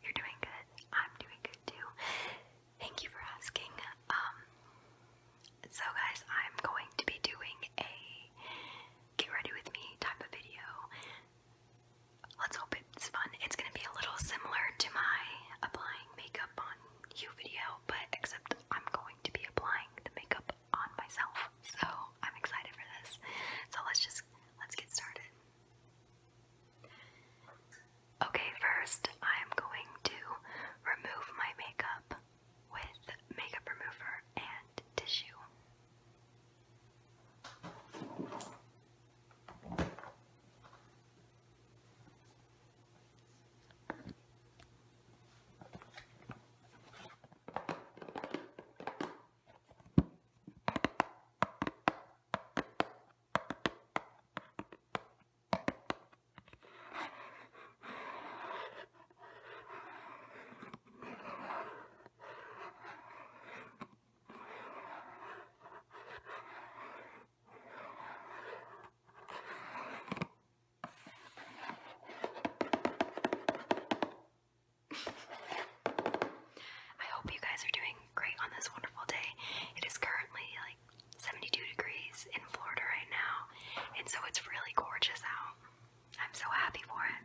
You're doing good. I'm doing good too. Thank you for asking. Um, so guys, I'm going to be doing a get ready with me type of video. Let's hope it's fun. It's gonna be a little similar to my applying makeup on you video, but except I'm going to be applying the makeup on myself. So I'm excited for this. So let's just let's get started. Okay, first I'm going to remove my makeup with makeup remover and tissue. I hope you guys are doing great on this wonderful day. It is currently like 72 degrees in Florida right now, and so it's really gorgeous out. I'm so happy for it.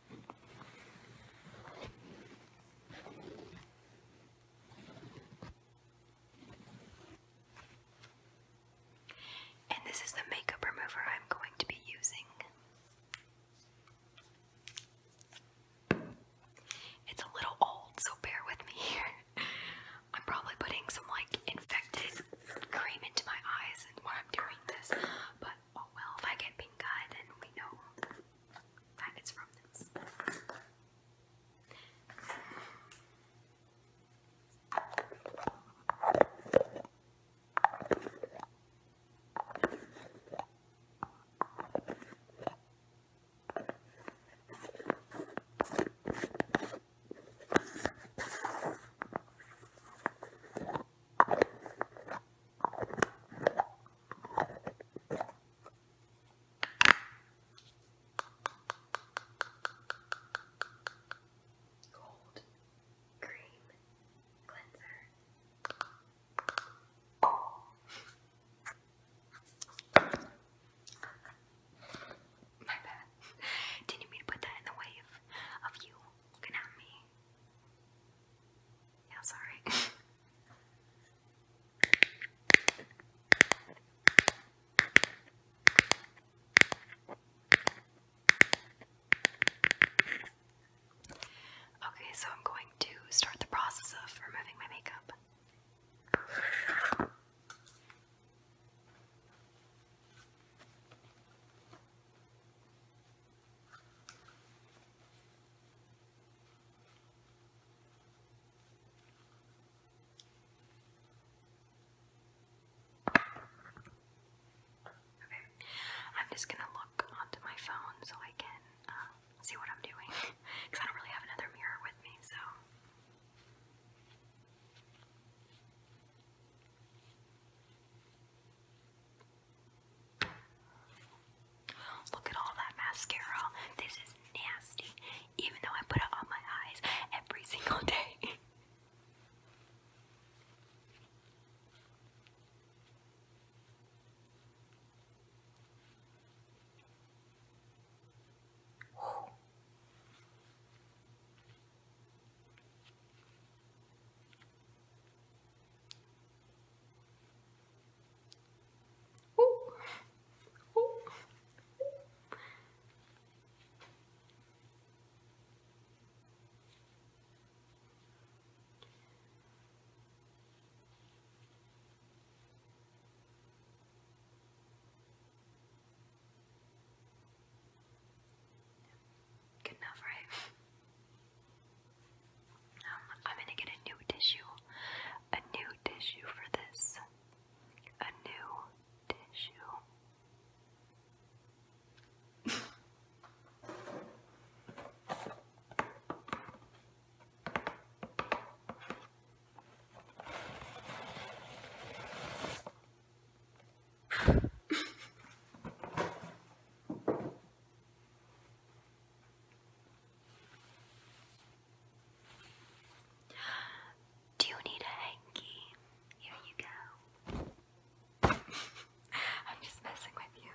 And this is the makeup remover I'm going to be using. It's a little old, so bear with me here. I'm probably putting some like infected cream into my eyes and while I'm doing this, but oh well, if I get pink then we know faggots from this. Cold cream cleanser. My bad. Didn't mean to put that in the way of you looking at me. Yeah, sorry. okay, so I'm going to start the process of removing my makeup. Okay, I'm just gonna look onto my phone so I can um, see what I'm doing because I don't really have another mirror with me, so. Look at all that mascara. This is nasty. Even though I put it on my eyes every single day. Good enough, right? Um, I'm gonna get a new tissue. A new tissue for this. A new tissue. Do you need a hanky? Here you go. I'm just messing with you.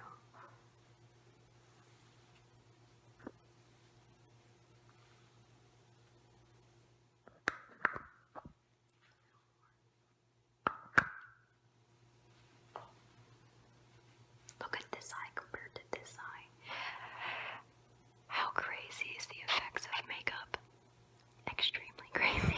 Look at this eye compared to this eye. How crazy is the effects of makeup? Extremely crazy.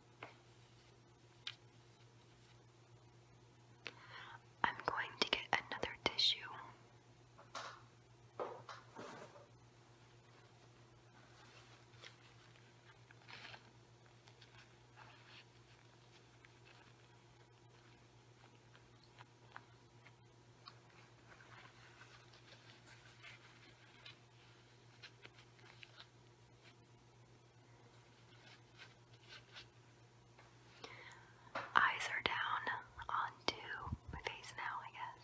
I'm going to get another tissue. Eyes are down onto my face now, I guess.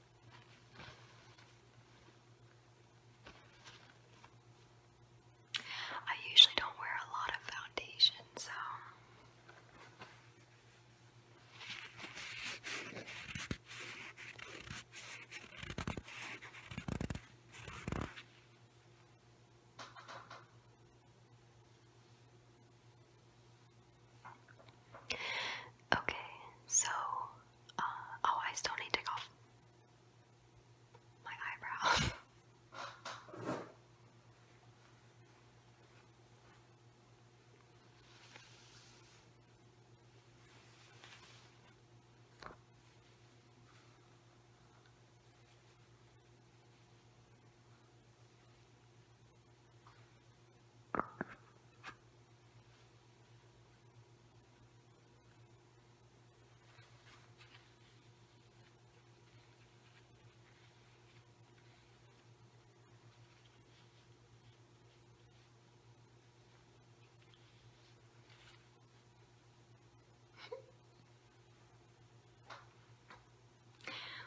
I usually don't wear a lot of foundation, so Okay, so uh, oh, I still need to go. off my eyebrows.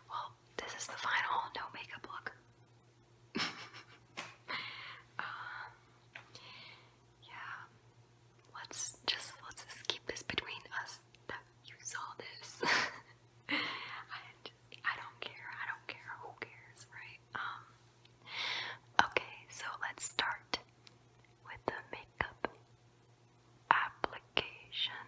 Well, this is the final no makeup look. Uh, yeah, let's just let's keep this between us you saw this. I don't care. I don't care. Who cares, right? Um, okay, so let's start with the makeup application.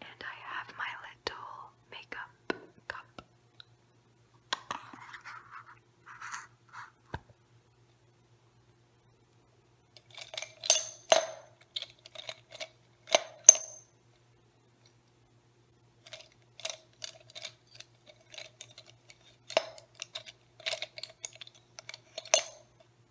And I have my little makeup cup.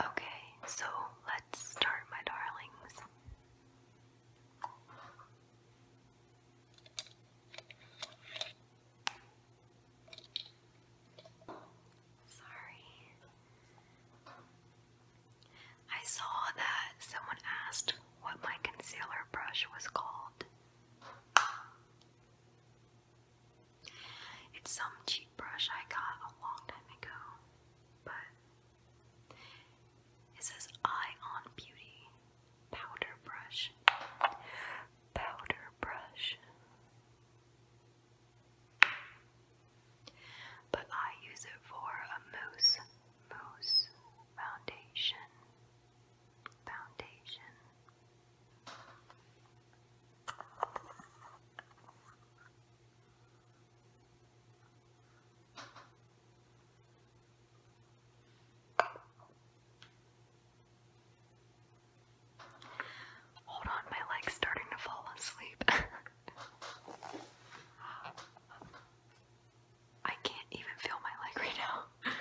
Okay, so let's start, my darlings. Sorry. I saw that someone asked what my concealer brush was called. It's some cheap brush I got a long time ago, but it says Eye on Beauty Powder Brush. Powder brush. But I use it for a mousse, mousse foundation, foundation. Hold on, my leg's starting to fall asleep. I can't even feel my leg right now.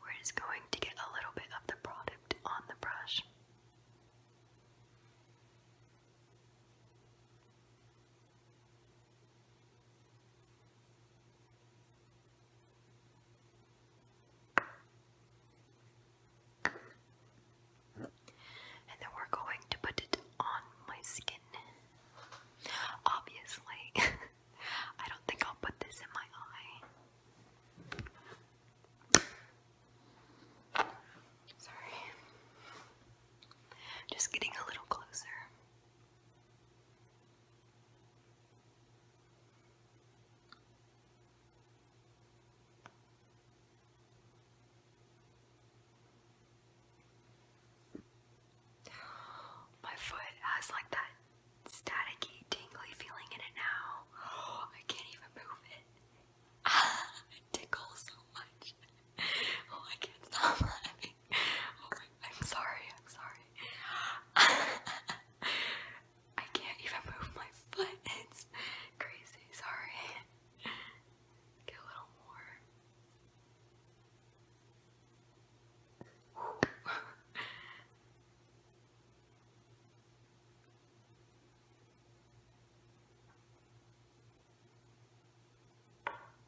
We're just going to get a little bit of the product on the brush. And we're going to put it on my skin. Obviously, I don't think I'll put this in my eye. Sorry. Just getting a little closer. My foot has like that staticky, tingly feeling in it now. I can't even move it. it tickles so much. Oh, I can't stop laughing. I'm sorry, I'm sorry. I can't even move my foot. It's crazy, sorry. Get a little more.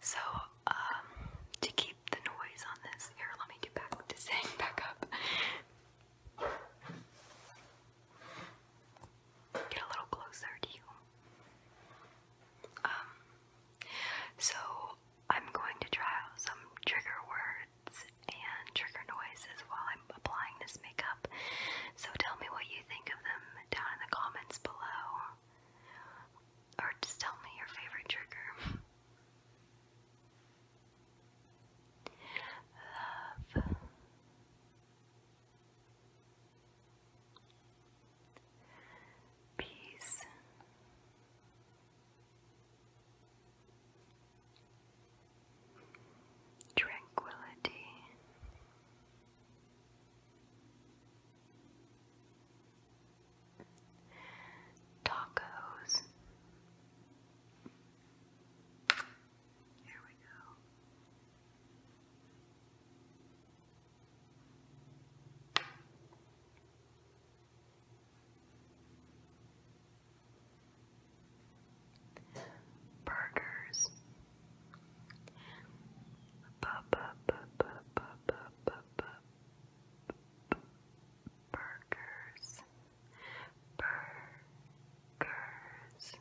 So, um, to keep the noise on this, here, let me get back up. Get a little closer to you. Um, so I'm going to try out some trigger words and trigger noises while I'm applying this makeup. So tell me what you think of them down in the comments below. Or just tell me your favorite trigger. Love. Peace. Tranquility. Tacos. Here we go. Burgers. Burgers, burgers. Burgers,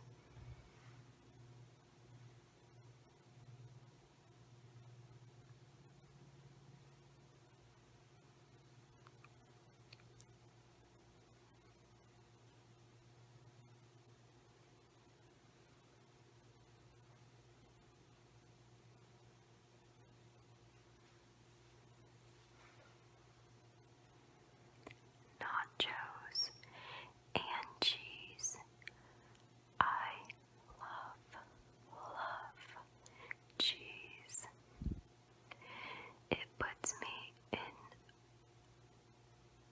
Nachos and cheese. I love, love cheese. It puts me in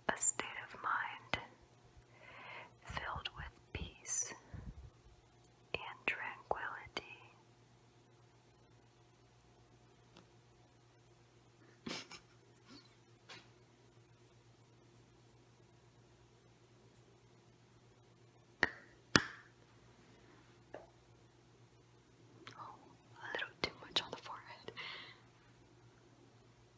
a state of mind filled with peace and tranquility. oh, a little too much on the forehead.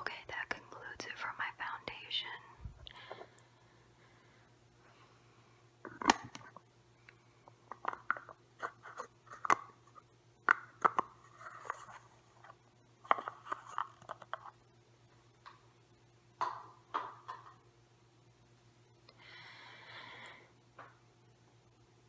Okay, that concludes it for my foundation.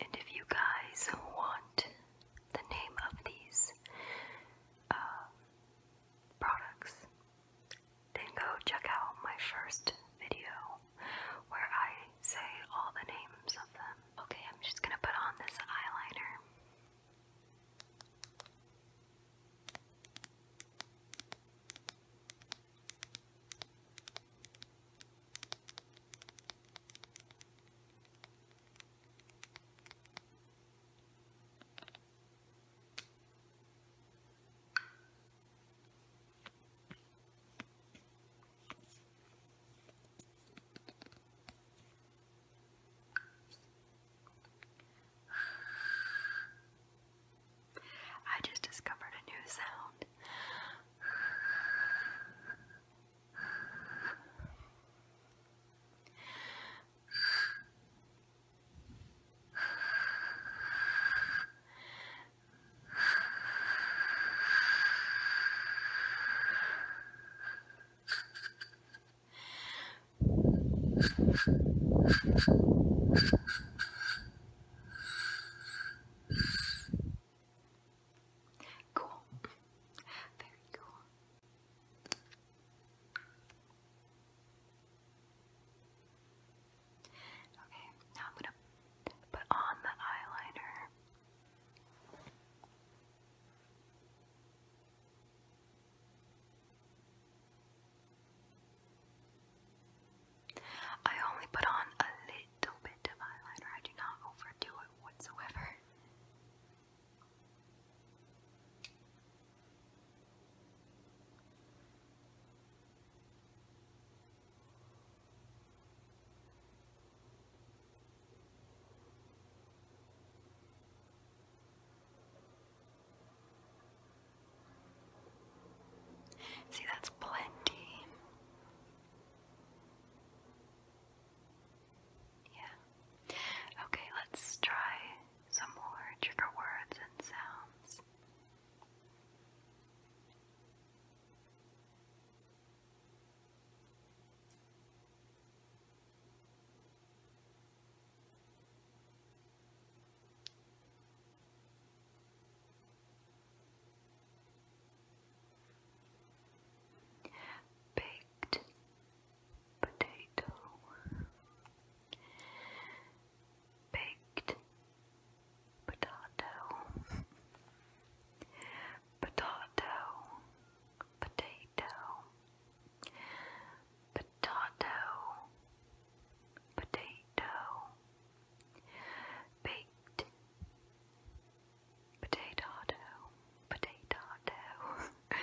And if you guys want the name of these uh, products, then go check out my first video where I say all the names of them. Okay, I'm just gonna put on this eyeliner. I just discovered a new sound. Cool. Very cool. Okay, now I'm gonna put on the eyeliner. I only put on a little bit of eyeliner, I do not overdo it whatsoever. See, that's plenty. Yeah. Okay, let's try some more trigger words and sounds. Baked, potato, baked potato, potato, potato, potato, potato, baked Potato, potato. There.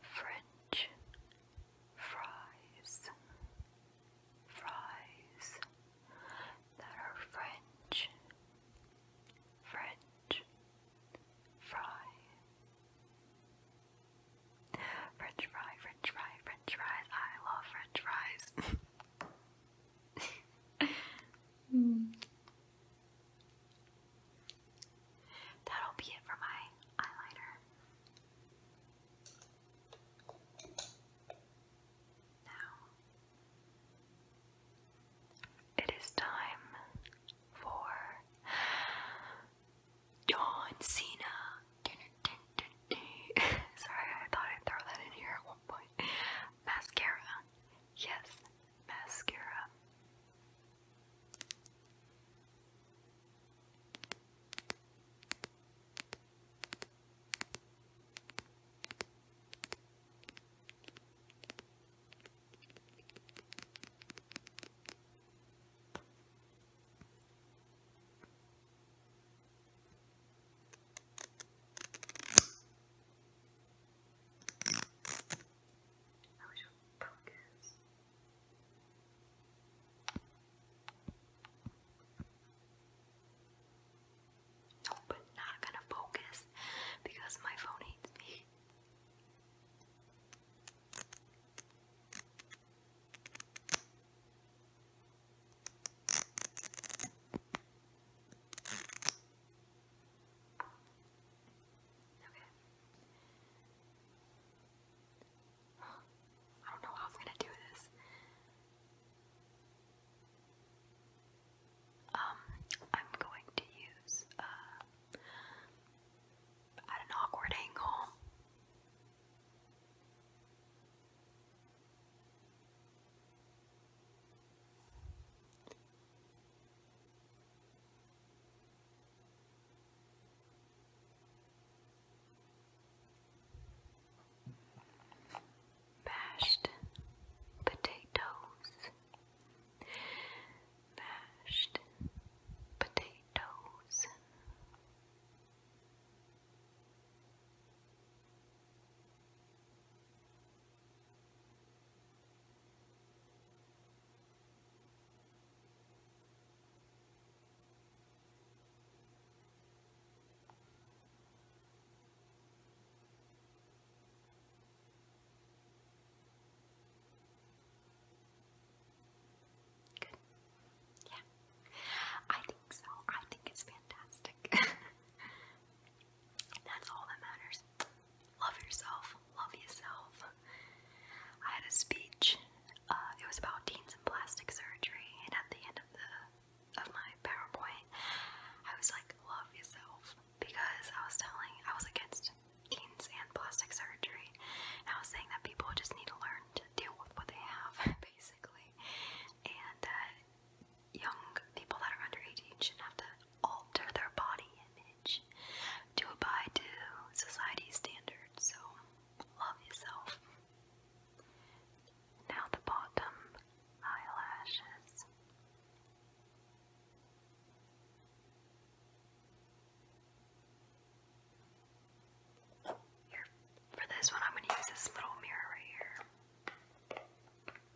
French fries, fries that are French, French fry, French fry, French fry, French fries. I love French fries. Hmm. That'll be it for my eyeliner. Now, it is time for John Cena. Sorry, I thought I'd throw that in here at one point. Mascara. Yes, mascara. I wish I would focus. No, but not gonna focus because my phone hates me. Okay. I don't know how I'm gonna do this. Um, I'm going to use uh, at an awkward angle. Mashed potatoes, mashed potatoes. Good. Yeah. I think so. I think it's fantastic. That's all that matters. Love yourself. Love yourself. I had a speech. Uh, it was about teens and plastic surgery, and at the end of the of my PowerPoint, I was like, "Love yourself," because I was telling I was against teens and plastic surgery, and I was saying that people just need to learn to deal with what they have, basically, and that young people that are under 18 shouldn't have to alter their body image to abide to society's standards. So, love yourself. Now, the bottom eyelashes. for this one, I'm going to use this little mirror right here.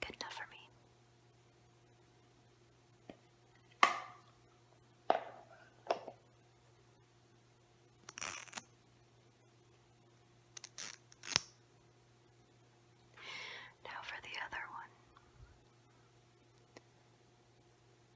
Good enough for me. Now for the other one.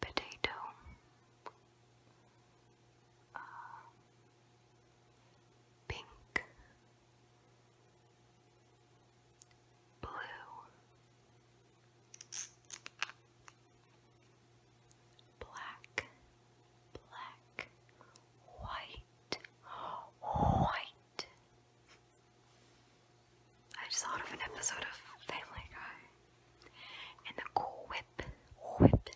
Potato. Uh, pink, blue, black, black, white, white. I just thought of an episode of Family Guy. And the whip, whip,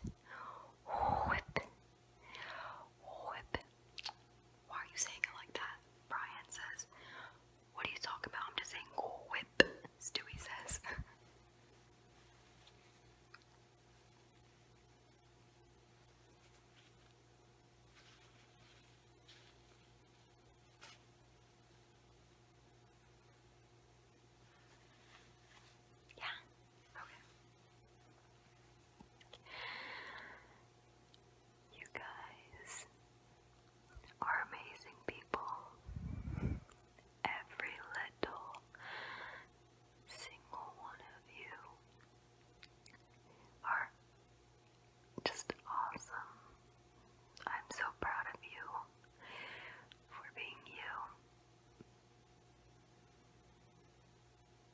whip, whip. Why are you saying it like that? Brian says, what are you talking about? I'm just saying whip, Stewie says. yeah, okay. You guys, are amazing people. Every little single one of you are just awesome. I'm so proud of you for being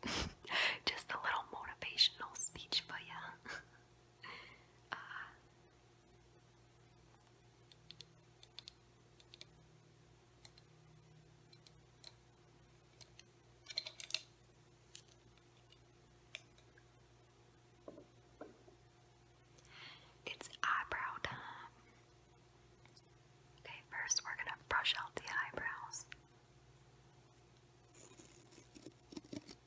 you. just a little motivational speech for you. It's eyebrow time. Okay, first we're going to brush out the eyebrows.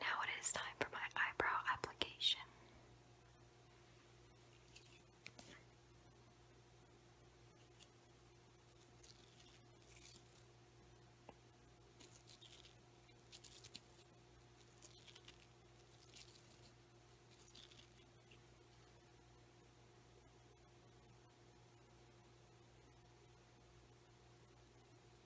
Now it is time for my eyebrow application.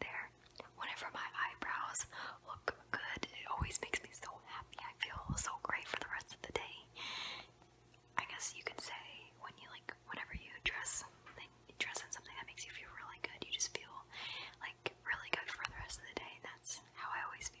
there. Whenever my eyebrows look good, it always makes me so happy. I feel so great for the rest of the day. I guess you could say when you like, whenever you dress, like, dress in something that makes you feel really good, you just feel like really good for the rest of the day. That's how I always feel.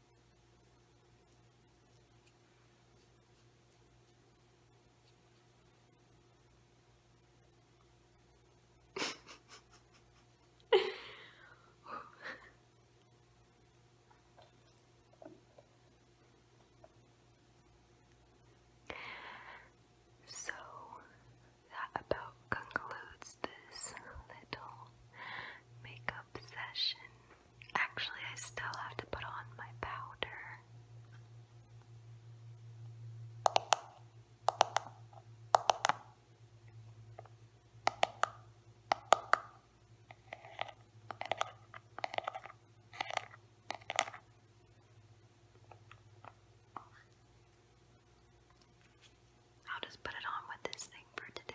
so that about concludes this little makeup session. Actually, I still have to put on my powder. I'll just put it on with this thing for today.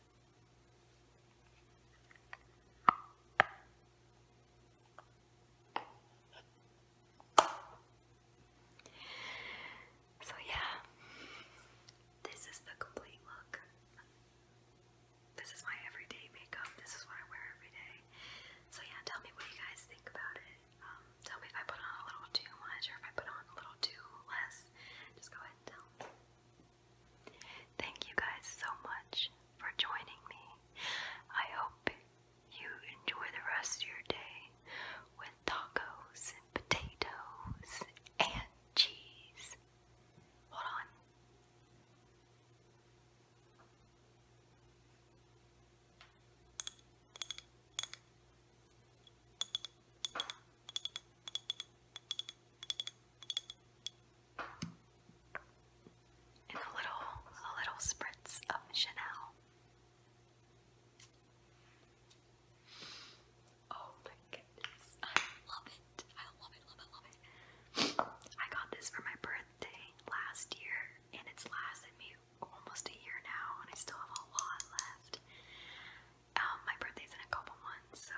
So, yeah, this is the complete look. This is my everyday makeup. This is what I wear every day. So, yeah, tell me what you guys think about it. Um, tell me if I put on a little too much or if I put on a little too less. Just go ahead and tell Thank you guys so much for joining me. I hope you enjoy the rest of your day with tacos potatoes and cheese. Hold on and a little a little spritz of Chanel. Oh my goodness. I love it. I love it, love it, love it. I got this for my birthday last year and it's lasted me almost a year now and I still have a lot left. Um my birthday's in a couple months, so